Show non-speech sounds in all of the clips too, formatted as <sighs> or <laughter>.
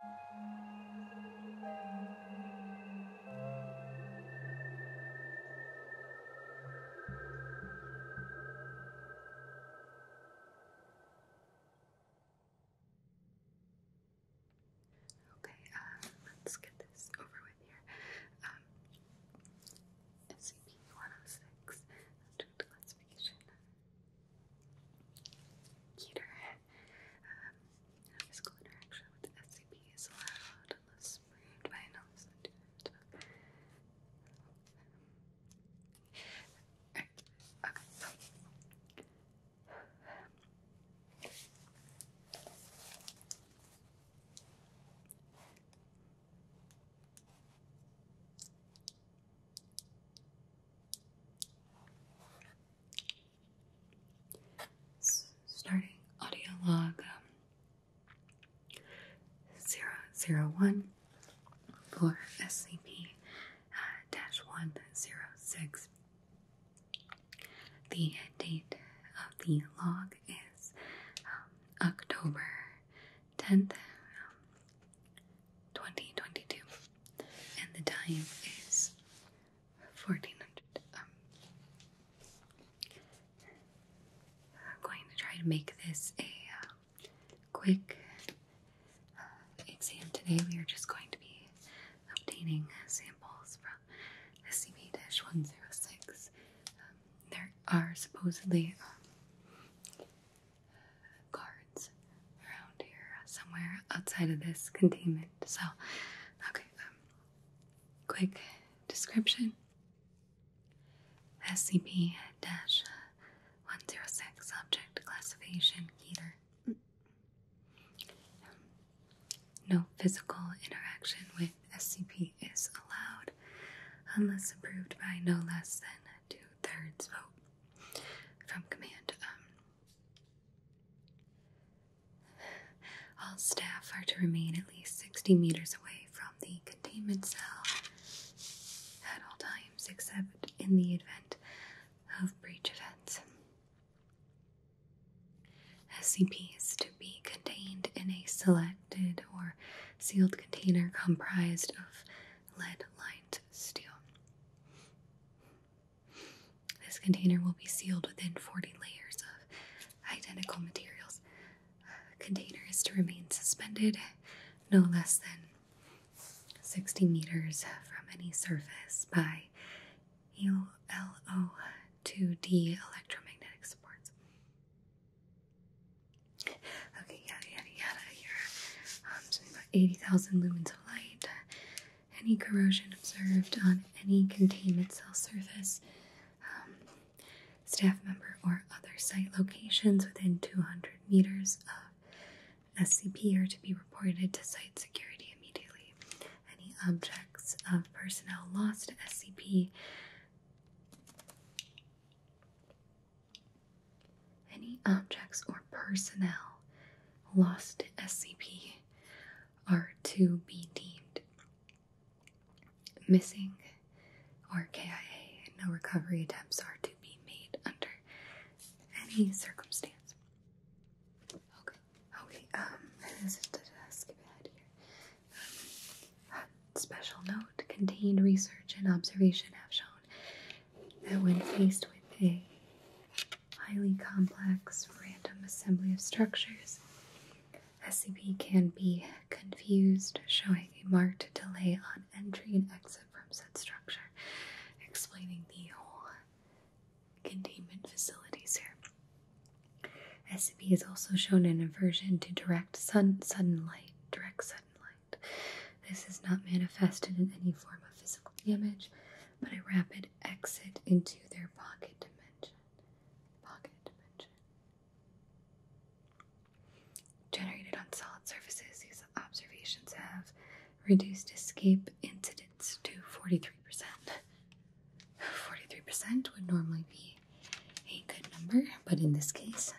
Okay, uh, let's get this over with here. Um, SCP-106, Classification cuter. <laughs> Um, physical interaction with SCP is allowed unless proved by analysis to starting audio log um, for SCP uh, dash 106. The date of the log is um, October 10th, um, 2022, and the time is 1400. Um, I'm going to try to make this a uh, quick uh, exam today. We are just going to be obtaining uh, samples from SCP-106. Um, there are supposedly um, cards around here somewhere outside of this containment. So, okay, um, quick description. SCP 106 Subject Classification Keter. Um, no physical interaction with SCP is allowed unless approved by no less than two thirds vote from command. Um, all staff are to remain at least 60 meters away from the containment cell at all times, except in the event of breach events. SCP is to be contained in a selected or sealed container comprised of lead lined steel. This container will be sealed within 40 layers of identical materials. container is to remain suspended no less than 60 meters from any surface by ULO 2 d electromagnetic supports. Okay, yada yada yada. You're um, about 80,000 lumens of light, any corrosion observed on any containment cell surface, um, staff member, or other site locations within 200 meters of SCP are to be reported to site security immediately. Any objects of personnel lost to SCP. Any objects or personnel lost to SCP are to be deemed missing or KIA, and no recovery attempts are to be made under any circumstance. Okay, okay, um, Um, special note contained research and observation have shown that when faced with a highly complex random assembly of structures, SCP can be confused, showing a marked delay on entry and exit from said structure, explaining the whole containment facilities here. SCP is also shown an aversion to direct sun, sudden direct sudden light. This is not manifested in any form of physical damage, but a rapid exit into their pocket dimension. Pocket dimension. Generated on solid surfaces, these observations have reduced escape incidents to 43%. 43% would normally be a good number, but in this case,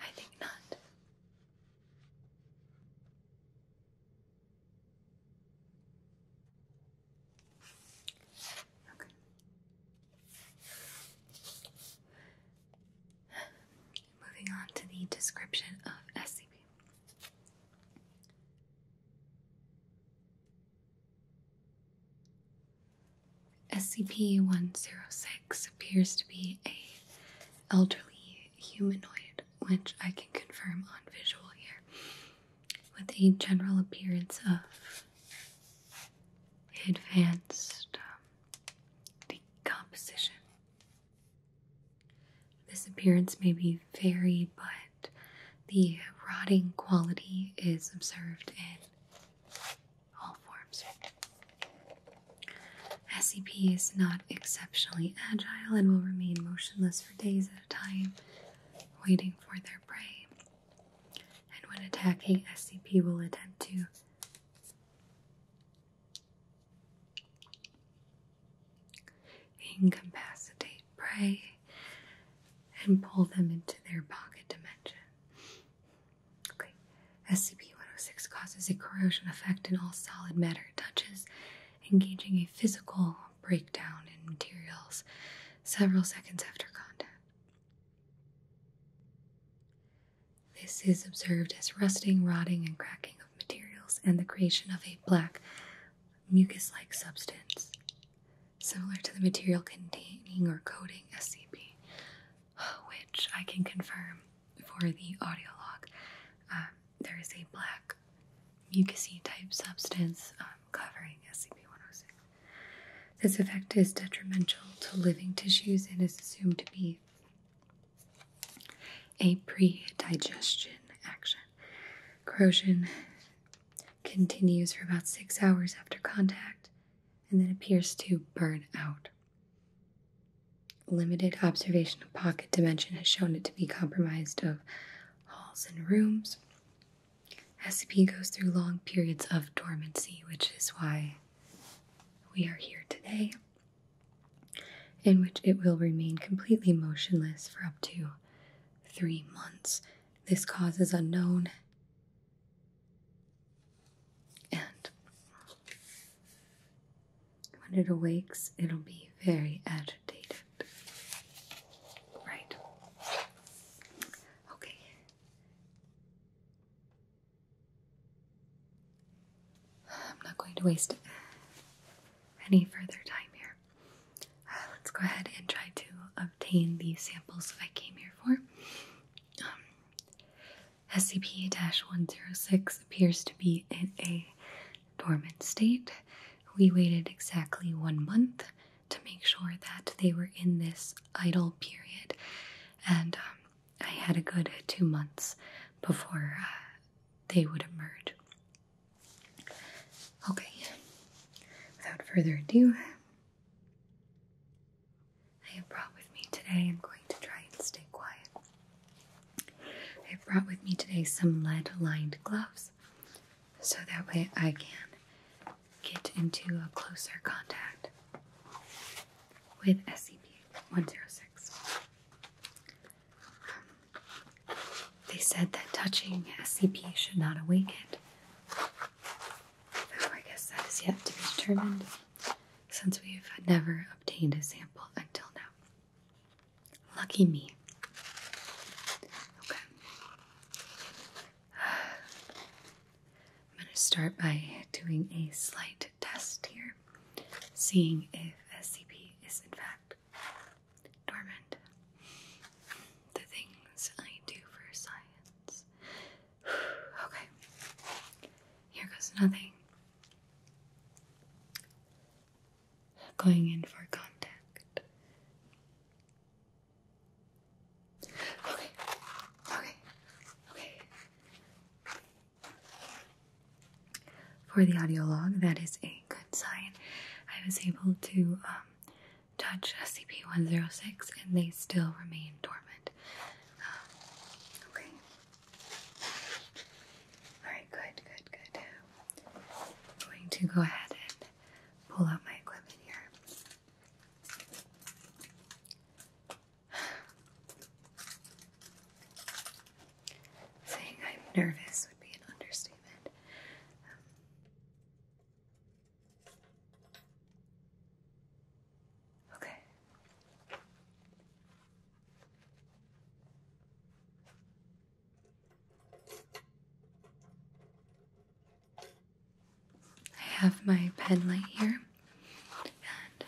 I think not. Moving on to the description of SCP. SCP-106 appears to be a elderly humanoid, which I can confirm on visual here, with a general appearance of advanced um, decomposition. This appearance may be varied, but the rotting quality is observed in all forms. SCP is not exceptionally agile and will remain motionless for days time, waiting for their prey. And when attacking, SCP will attempt to incapacitate prey and pull them into their pocket dimension. Okay. SCP 106 causes a corrosion effect in all solid matter it touches engaging a physical breakdown in materials several seconds after contact. This is observed as rusting, rotting, and cracking of materials and the creation of a black mucus like substance, similar to the material containing or coating SCP, which I can confirm for the audio log. Um, there is a black mucousy type substance um, covering SCP-106. This effect is detrimental to living tissues and is assumed to be a pre-digestion action. Corrosion continues for about six hours after contact and then appears to burn out. Limited observation of pocket dimension has shown it to be compromised of halls and rooms. SCP goes through long periods of dormancy, which is why we are here today, in which it will remain completely motionless for up to three months. This cause is unknown. And when it awakes, it'll be very agitated. Right. Okay. I'm not going to waste any further time here. Uh, let's go ahead and try to obtain the samples I came here for. Um, SCP 106 appears to be in a dormant state. We waited exactly one month to make sure that they were in this idle period, and um, I had a good two months before uh, they would emerge. Okay, without further ado, I have brought with me today, I'm going to try and stay quiet. I have brought with me today some lead lined gloves so that way I can get into a closer contact with SCP-106. Um, they said that touching SCP should not awaken it, I guess that is yet to be determined since we've never obtained a sample until now. Lucky me. Okay. I'm going to start by doing a slight test here, seeing if SCP is in fact dormant. The things I do for science. <sighs> okay. Here goes nothing going in for contact. Okay, okay, okay. For the audio log, that is a good sign. I was able to um, touch SCP 106 and they still remain dormant. Um, okay. Alright, good, good, good. going to go ahead pull out my equipment here. <sighs> Saying I'm nervous would be an understatement. Um, okay. I have my pen light here, and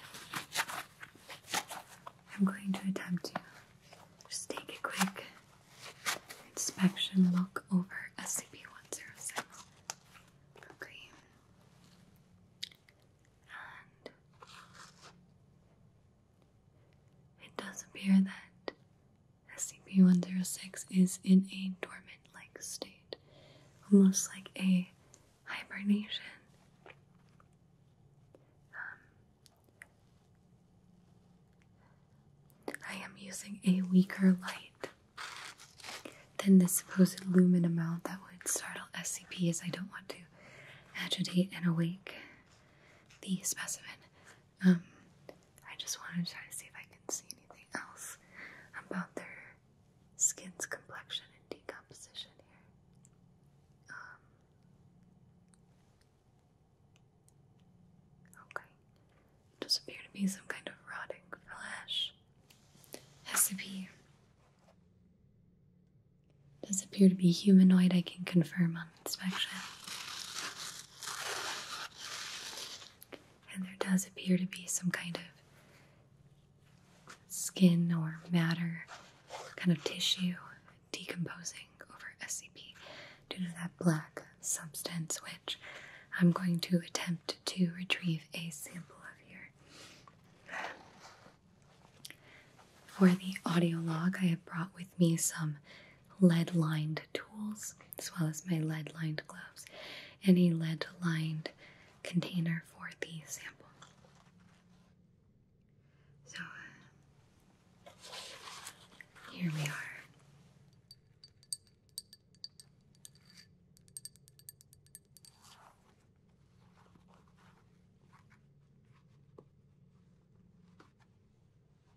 I'm going to attempt to just take a quick inspection look over SCP-107. Okay. And it does appear that SCP-106 is in a dormant-like state, almost like a hibernation. Um, I am using a weaker light than the supposed lumen amount that would startle SCP as I don't want to agitate and awake the specimen. Um, I just want to try to see if I can see anything else about their skin's complexion and decomposition here. Um, okay. Does appear to be some kind of rotting flesh. Has to be. Does appear to be humanoid, I can confirm on inspection. And there does appear to be some kind of skin or matter, kind of tissue decomposing over SCP due to that black substance, which I'm going to attempt to retrieve a sample of here. For the audio log, I have brought with me some lead lined tools as well as my lead lined gloves and a lead lined container for the sample. So uh, here we are.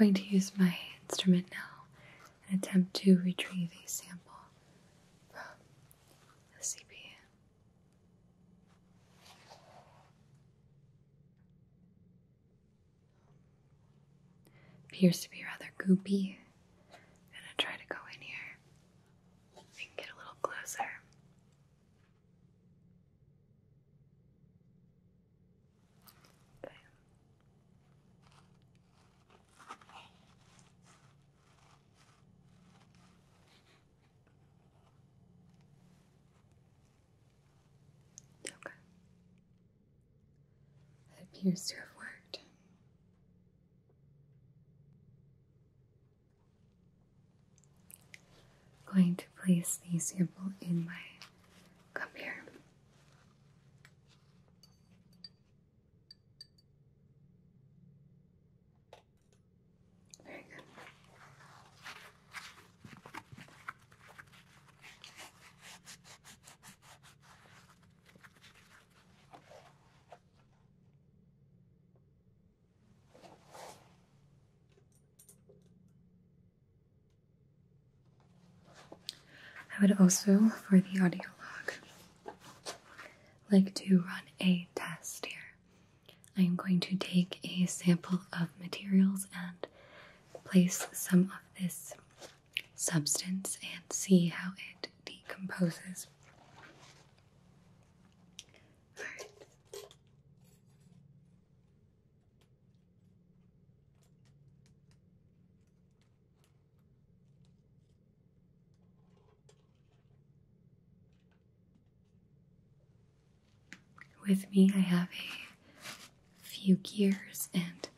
I'm going to use my instrument now and attempt to retrieve a sample from the CPU. Appears to be rather goopy. I'm gonna try to go in here and get a little closer. It appears to have worked. I'm going to place the sample in my cup here. Very good. I would also, for the audio log, like to run a test here. I am going to take a sample of materials and place some of this substance and see how it decomposes. With me, I have a few gears and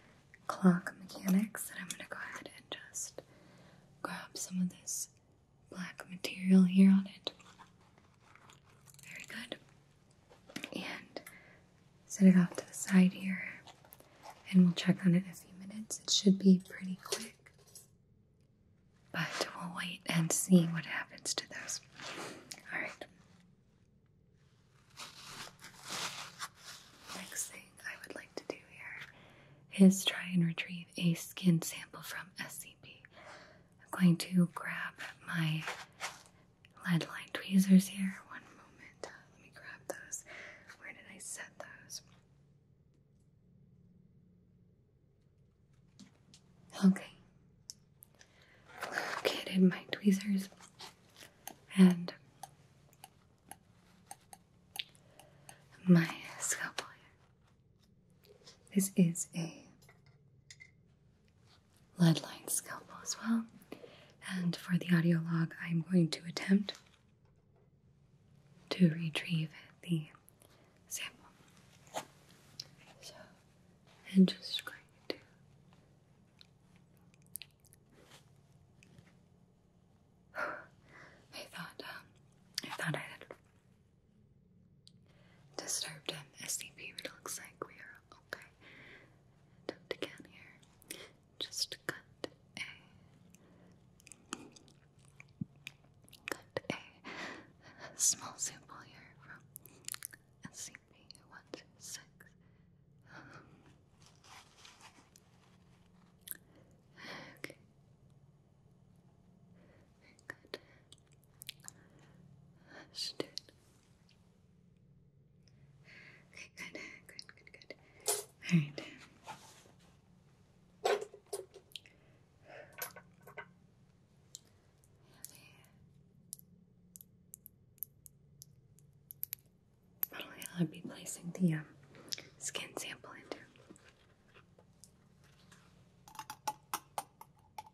clock mechanics that I'm going to go ahead and just grab some of this black material here on it very good. And set it off to the side here, and we'll check on it in a few minutes. It should be pretty quick, but we'll wait and see what happens to those. All right. Next thing I would like to do here is try and retrieve a skin sample from SCP. I'm going to grab my lead line tweezers here. One moment. Uh, let me grab those. Where did I set those? Okay. Located my tweezers and my scalpel. This is a lead line scalpel as well. And for the audio log, I'm going to attempt to retrieve the sample. So, and just going <sighs> to I thought um, I thought I had disturbed him. SCP, but it looks like we are Okay. Don't again here. Just cut a cut a <laughs> small sample here from SCP one two six. Okay. good. Should Okay, good, good, good, good. All right. Okay. Um, I'll be placing the um, skin sample into.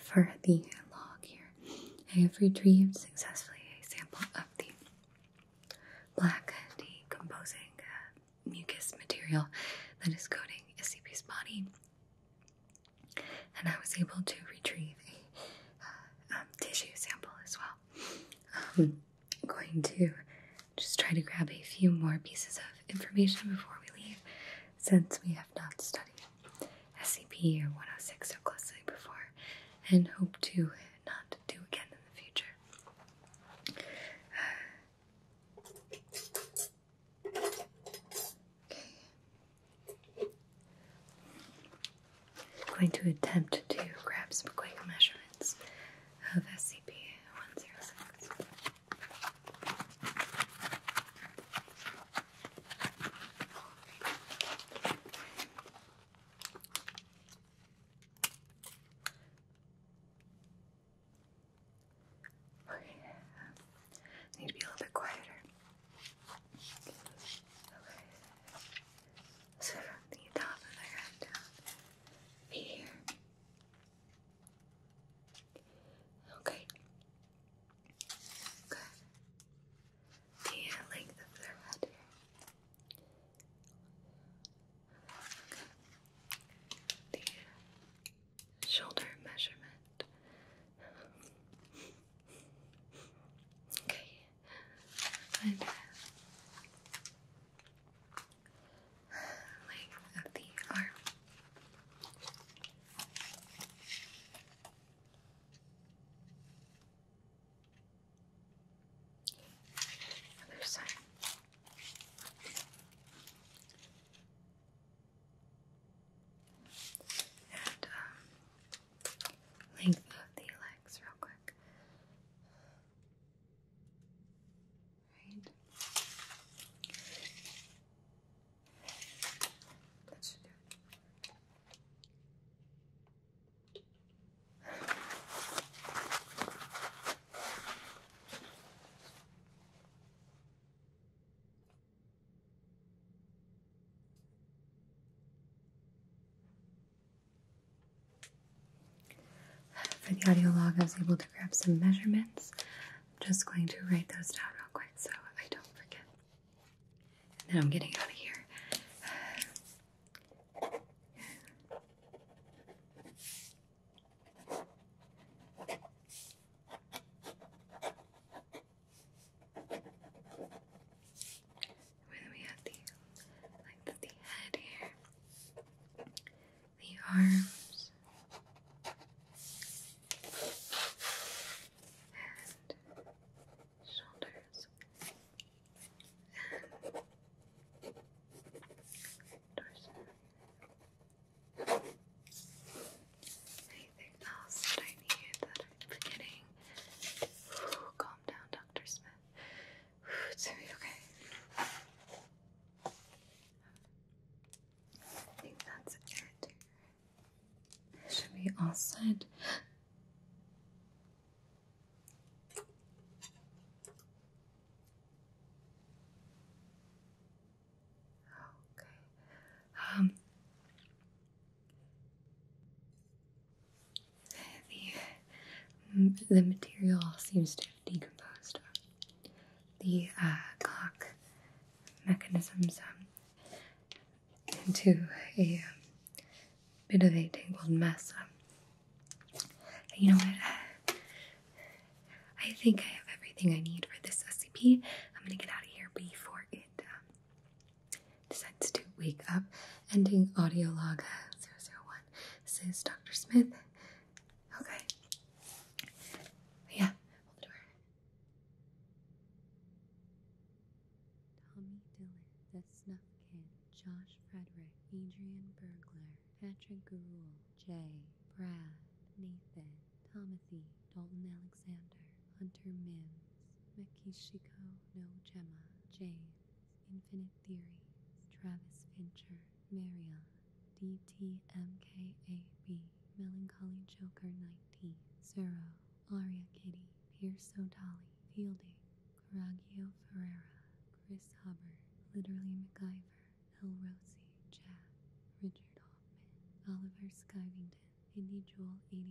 For the log here, I have retrieved successfully a sample of the black decomposing uh, mucus material that is coating SCP's body, and I was able to retrieve a uh, um, tissue sample as well. I'm um, going to just try to grab a few more pieces of information before we leave, since we have not studied SCP or 106 so closely before, and hope to not do again in the future. Okay. <sighs> I'm going to attempt to grab some quick measurements of SCP 106. Okay. I need to be a little bit quieter. So from the top of the head down, here. Okay. Good. The length of their head Okay. The shoulder measurement. Okay. And length of the arm. Other side. And um, length of the legs, real quick. For the audio log, I was able to grab some measurements I'm just going to write those down real quick so I don't forget. And then I'm getting out of here. then we have the length the head here the arms and shoulders and torso. Anything else that I need that I'm forgetting? calm down, Dr. Smith. it's gonna be okay. I think that's it. Should be all set. Okay. Um the the material seems to have decomposed. The uh, clock mechanisms um, into a um, bit of a tangled mess. Um, you know what? I think I have everything I need for this SCP. I'm gonna get out of here before it decides to wake up. Ending audio log uh, 001. This is Dr. Smith. Okay. Yeah, Tommy Dillon, The Snuff Kid, Josh Frederick, Adrian Burglar, Patrick Gruel, Jay, Brad, Nathan, Tomothy, Dalton Alexander, Hunter Mims, Makishiko No Gemma, James, Infinite Theories, Travis Fincher, Marion, DTMKAB, Melancholy Joker 90, Zero, Aria Kitty, Pierce O'Dolly, Fielding, Coragio Ferrera, Chris Hubbard, Literally MacGyver, El Rossi, Jack, Richard Hoffman, Oliver Skivington, Indy Joel 89,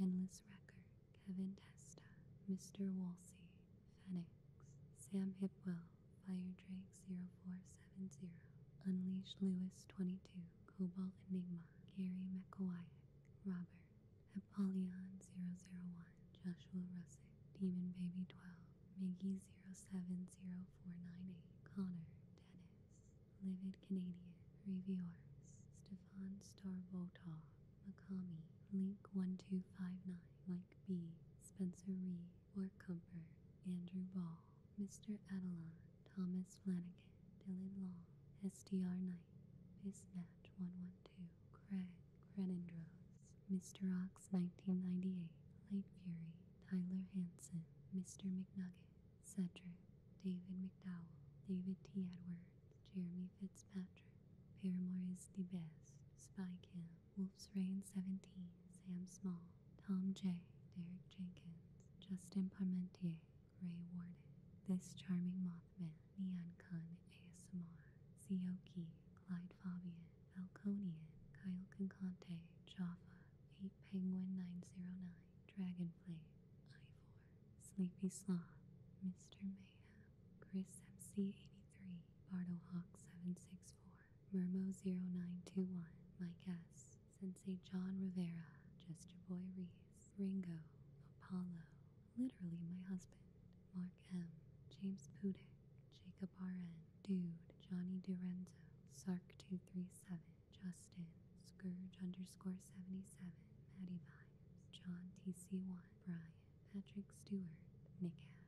Endless Record, Kevin Testa, Mr. Wolsey, Fenix, Sam Hipwell, Fire Drake, 60470. Unleashed Lewis 22. Cobalt Enigma. Gary McCoyack. Robert. Apollyon 001. Joshua Russick. Demon Baby 12. Miggy 070498. Connor. Dennis. Livid Canadian. Reviewers. Stefan Starbotov. Macami, Link1259. Mike B. Spencer Reed. Warcumber, Andrew Ball, Mr. Adelon, Thomas Flanagan, Dylan Long, SDR Knight, Bismatch 112, Craig Crenindros, Mr. Ox 1998, Late Fury, Tyler Hanson, Mr. McNugget, Cedric, David McDowell, David T. Edwards, Jeremy Fitzpatrick, Paramore is the best, Spy Cam, Wolf's Reign 17, Sam Small, Tom J., Derek Jenkins, Justin Parmentier, Ray Ward, This Charming Mothman, Neon Khan ASMR, Sioki, Clyde Fabian, Falconian, Kyle Concante, Jaffa, 8 Penguin 909, Dragonflame, Ivor, Sleepy Sloth, Mr. Mayhem, Chris MC83, Bardo Hawk 764, Murmo0921, Mike S, Saint John Rivera, just Jester Boy Reese, Ringo, Apollo, literally my husband, Mark M, James Pudick, Jacob RN, Dude, Johnny Durenzo, Sark237, Justin, Scourge underscore 77, Maddie Vibes, John TC1, Brian, Patrick Stewart, Nick Ash.